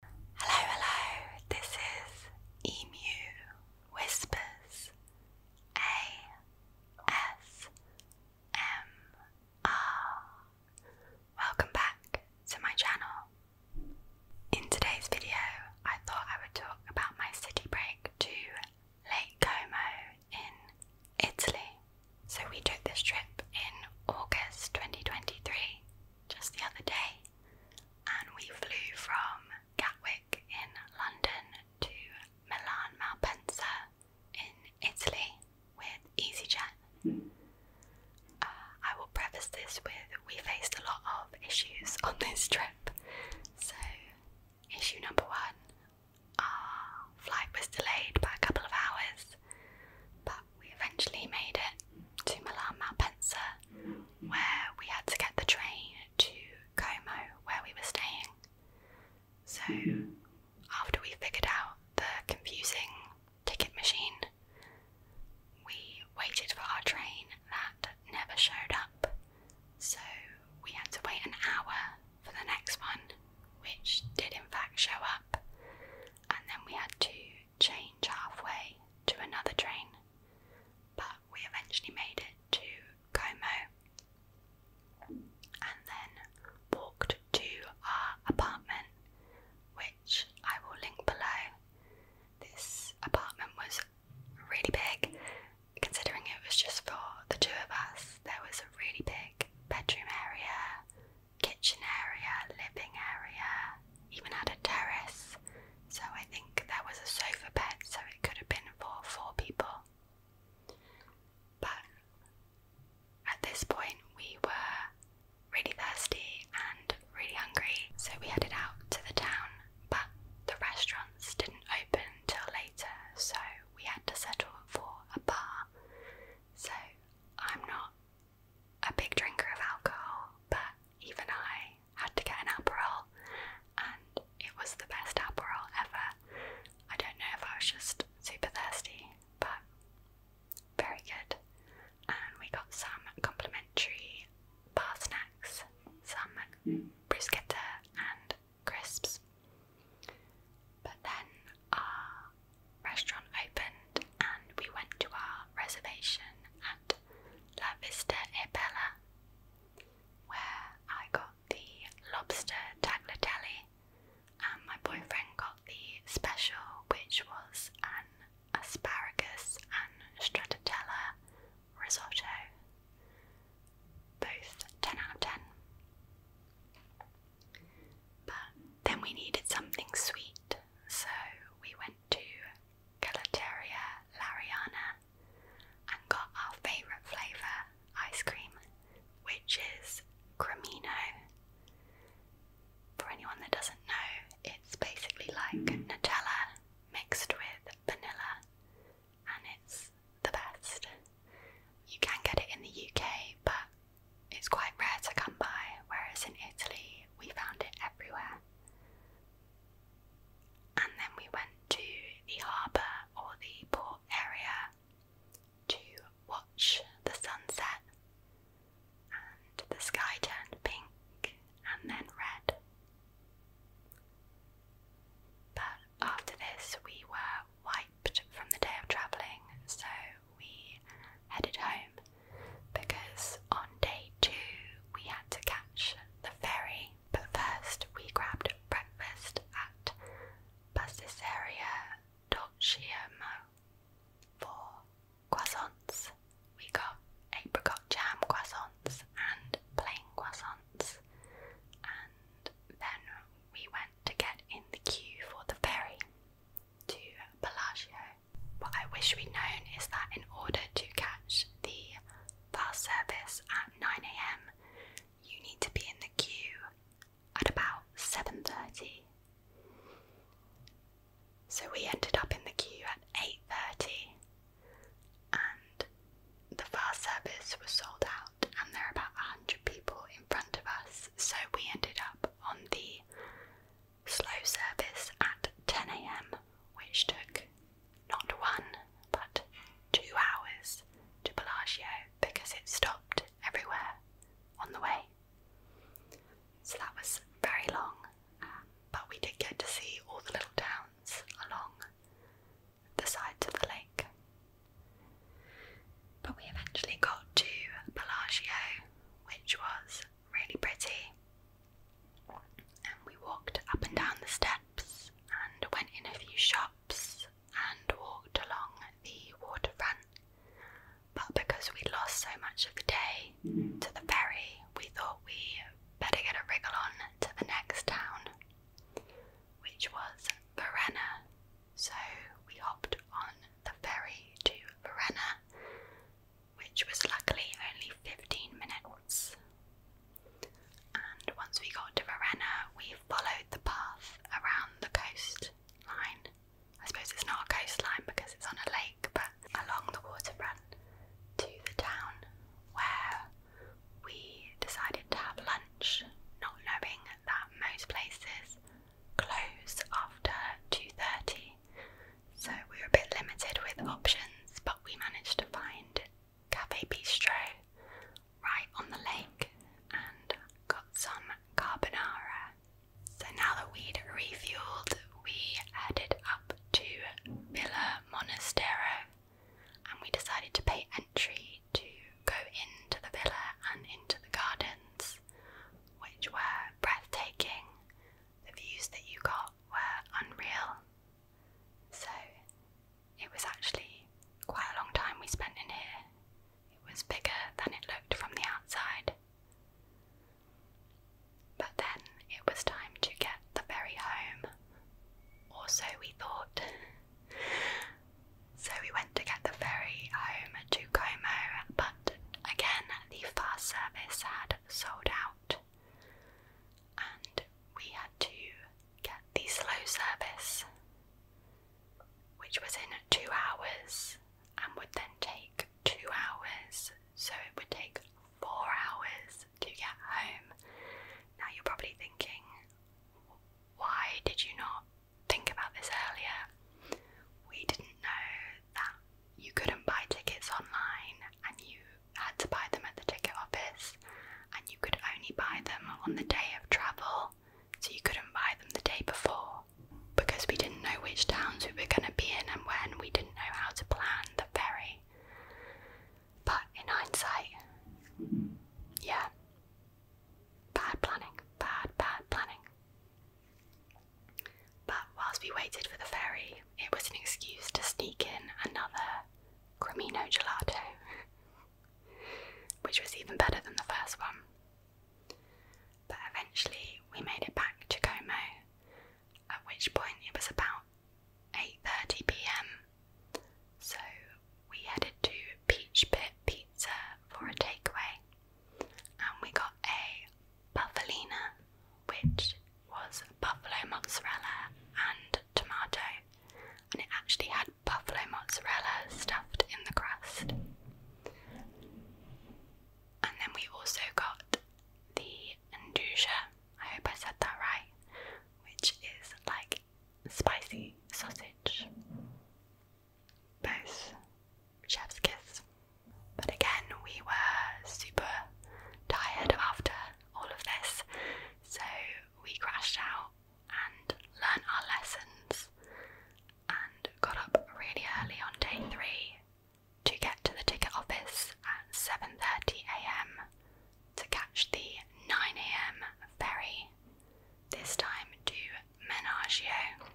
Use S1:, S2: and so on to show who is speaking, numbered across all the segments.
S1: Hello, hello, this is Emu Whispers ASMR. Welcome back to my channel. In today's video, I thought I would talk about my city break to Lake Como in Italy. So, we took this trip in August 2023, just the other day, and we flew from Gatwick in London to Milan Malpensa in Italy with EasyJet. Uh, I will preface this with we faced a lot of issues on this trip. So, issue number one our flight was delayed by a couple of hours, but we eventually made it to Milan Malpensa, where we had to get the train to Como, where we were staying. So, after we figured out the confusing ticket machine, we waited for our train that never showed up. So, we had to wait an hour for the next one, which did in fact show up, and then we had to change halfway to another train, but we eventually made it to Como and then walked to our apartment, which I will link below. This apartment was really big, considering it was just for the two of us. There was a really big bedroom area, kitchen area, living area, even had a terrace. So I think there was a sofa bed, so it could have been for four people. But at this point, we were really thirsty and really hungry, so we headed out to the town. But the restaurants didn't open till later, so we had to settle for a bar. So I'm not a big drinker of alcohol, but even I had to get an Aperol, and it was the best Aperol ever. I don't know if I was just super thirsty, but very good. And we got some complimentary bar snacks, some mm. bruschetta and crisps. But then our uh, restaurant opened and we went to our reservation at La Vista e where I got the lobster tagliatelle and my boyfriend got the special, which was an asparagus and stracciatella risotto. Both 10 out of 10. But then we needed something sweet, so we went to Gelateria Lariana and got our favourite flavour ice cream, which is Cremino. For anyone that doesn't know, it's basically like Nutella mixed with vanilla, and it's the best. You can get it in the UK, but it's quite rare to come by, whereas in Italy we found it everywhere. And then we went to the harbour or the port area to watch the sunset, and the sky turned pink and then red. But after this, we were wiped from the day of travelling, so we headed home because on day two we had to catch the ferry, but first we grabbed breakfast at Pastisseria Dolciamo for croissants. We got apricot jam croissants and plain croissants, and then we went to get in the queue for the ferry to Palacio. What I wish we'd known is that in order to catch the bus service at 9am, you need to be in the queue at about 7.30. So we ended up in the queue at 8.30 and the bus service was sold out and there were about 100 people in front of us so we ended up on the slow service at 10 am, which took not one but two hours to Bellagio because it stopped everywhere on the way. So that was very long, um, but we did get to see all the little towns along the sides of the lake. But we eventually got to Bellagio, which was really pretty. And we walked up and down the steps and went in a few shops and walked along the waterfront. But because we lost so much of the day to the ferry, we thought we better get a wriggle on to the next town, which was Verena. So we hopped on the ferry to Verena, which was luckily only 15 minutes. And once we got to Verena, we followed the path around the coastline. I suppose it's not a coastline because it's on a lake, but along the waterfront to the town where we decided to have lunch, not knowing that most places close after 2.30 so we were a bit limited with options but we managed to find cafe bistro right on the lake and got some carbonara so now that we'd refueled we headed up to villa monastero and we decided to pay entry to go into the villa and into the gardens, which were breathtaking. The views that you got were unreal. So it was actually quite a long time we spent in here. It was bigger than it looked from the outside. But then it was time to get the ferry home, or so we thought. So we went to get the ferry home to Como, but again the fast service had sold out, and we had to get the slow service, which was in two hours and would then take two hours, so it would take four hours to get home. Now you're probably thinking, why did you not think about this earlier. We didn't know that you couldn't buy tickets online and you had to buy them at the ticket office and you could only buy them on the day of travel, so you couldn't buy them the day before. Because we didn't know which towns we were going to be in and when, we didn't know how to plan the ferry. But in hindsight, yeah, Bad planning, bad, bad planning. But whilst we waited for the ferry, it was an excuse to sneak in another Cremino gelato, which was even better than the first one. But eventually we made it back to Como, at which point it was about 8:30 p.m. So we headed to Peach Pit Pizza for a takeaway and we got a buffalina, which was buffalo mozzarella and tomato, and it actually had buffalo mozzarella stuffed in the crust. And then we also got the andouja, I hope I said that right, which is like spicy sausage. Both chef's kiss. But again, we were super tired after all of this, so we crashed out and learnt our lessons and got up really early on day three to get to the ticket office at 7.30am to catch the 9am ferry, this time to Menaggio.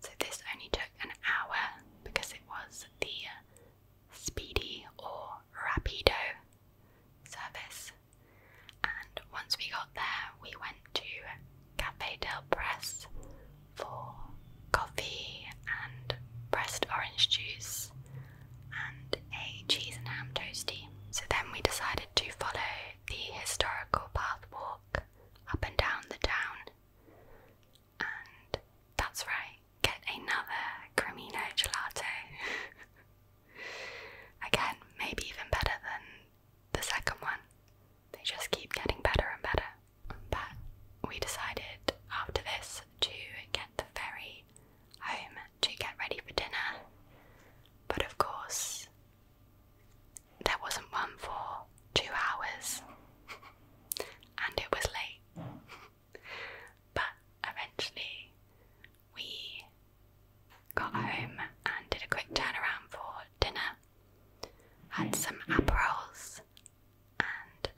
S1: So, this only took an hour because it was the speedy or rapido service. And once we got there, we went to Cafe del Press for coffee and pressed orange juice and a cheese and ham toastie. So then we decided to follow the historical path walk up and down the town. And that's right, get another Cremino gelato. Again, maybe even better than the second one. They just keep getting better and better. But we decided after this to get the ferry home to get ready for dinner, but of course, there wasn't one for two hours, and it was late. But eventually, we got home and did a quick turnaround for dinner, had some aperols, and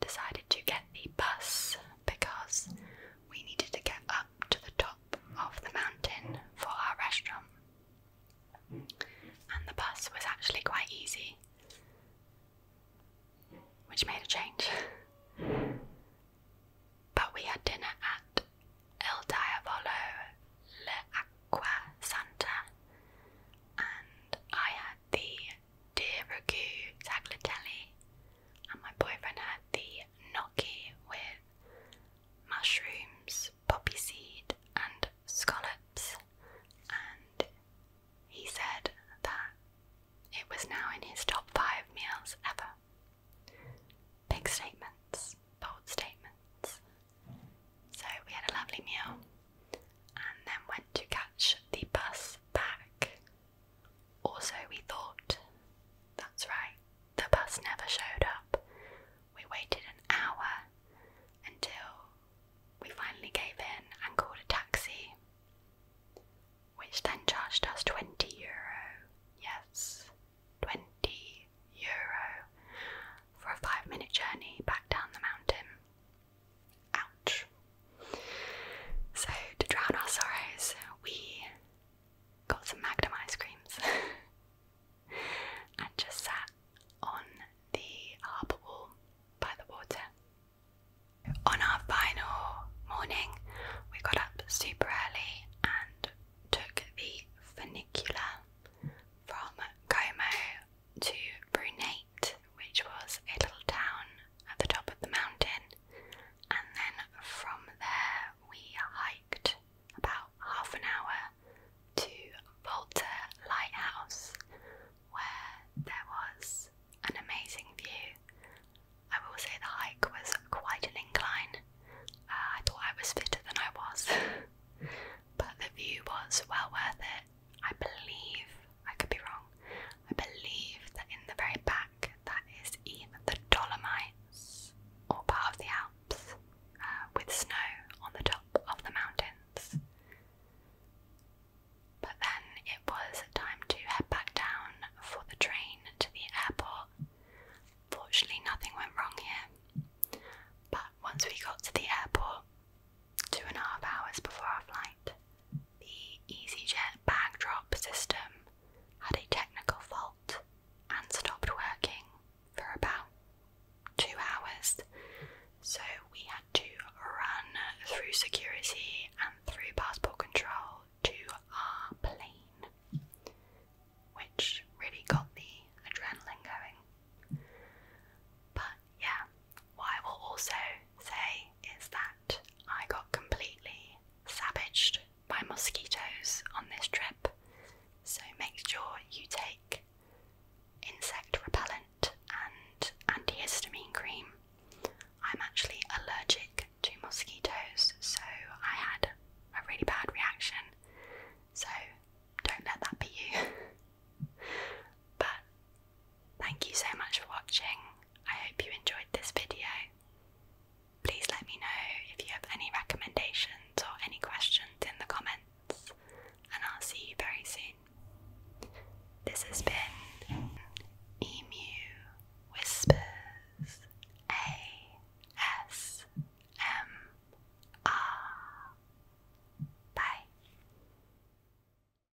S1: decided to get the bus because we needed to get up to the top of the mountain for our restaurant. And the bus was actually quite easy, which made a change. but we had dinner at El Diavolo Le Acqua Santa, and I had the dear ragu tagliatelle and my boyfriend had the gnocchi with mushrooms, poppy seed, and scallops, and he said that it was now in his top five meals ever. Big statements, bold statements. So we had a lovely meal and then went to catch the bus back also, we thought. That's right, the bus never showed up. We waited an hour until we finally gave in and called a taxi, which then charged us 20 euro. Yes, 20 euro for a five minute journey back down the mountain. Ouch. So, to drown our sorrows, we got some Magnum ice creams and just sat on the harbour wall by the water. On our final morning, we got up super early and took the funicular from Como to Brunate, which was a little town at the top of the mountain and then from there we hiked about half an hour to Volta Lighthouse, where there was an amazing view. I will say the hike was quite an incline. Uh, I thought I was fitter than I was, but the view was well worth it. I believe I could be wrong. I believe that in the very back, that is either the Dolomites or part of the Alps, uh, with snow on the top of the mountains. But then it was time to head back down for the train to the airport. Fortunately, nothing went wrong here. But once we got to the airport, two and a half hours before our flight, the EasyJet bag drop system had a technical fault and stopped working for about two hours, so we had to run through security and through passport control to our plane, which really got the adrenaline going. But yeah, what I will also say is that I got completely savaged by mosquitoes on this trip, so make sure you take insect repellent and antihistamine cream. I'm actually allergic to mosquitoes, so I had a really bad reaction, so don't let that be you. but Thank you so much for watching. I hope you enjoyed this video. Please let me know if you have any recommendations or any questions in the comments, and I'll see you very soon. This has been Emu Whispers ASMR. Bye.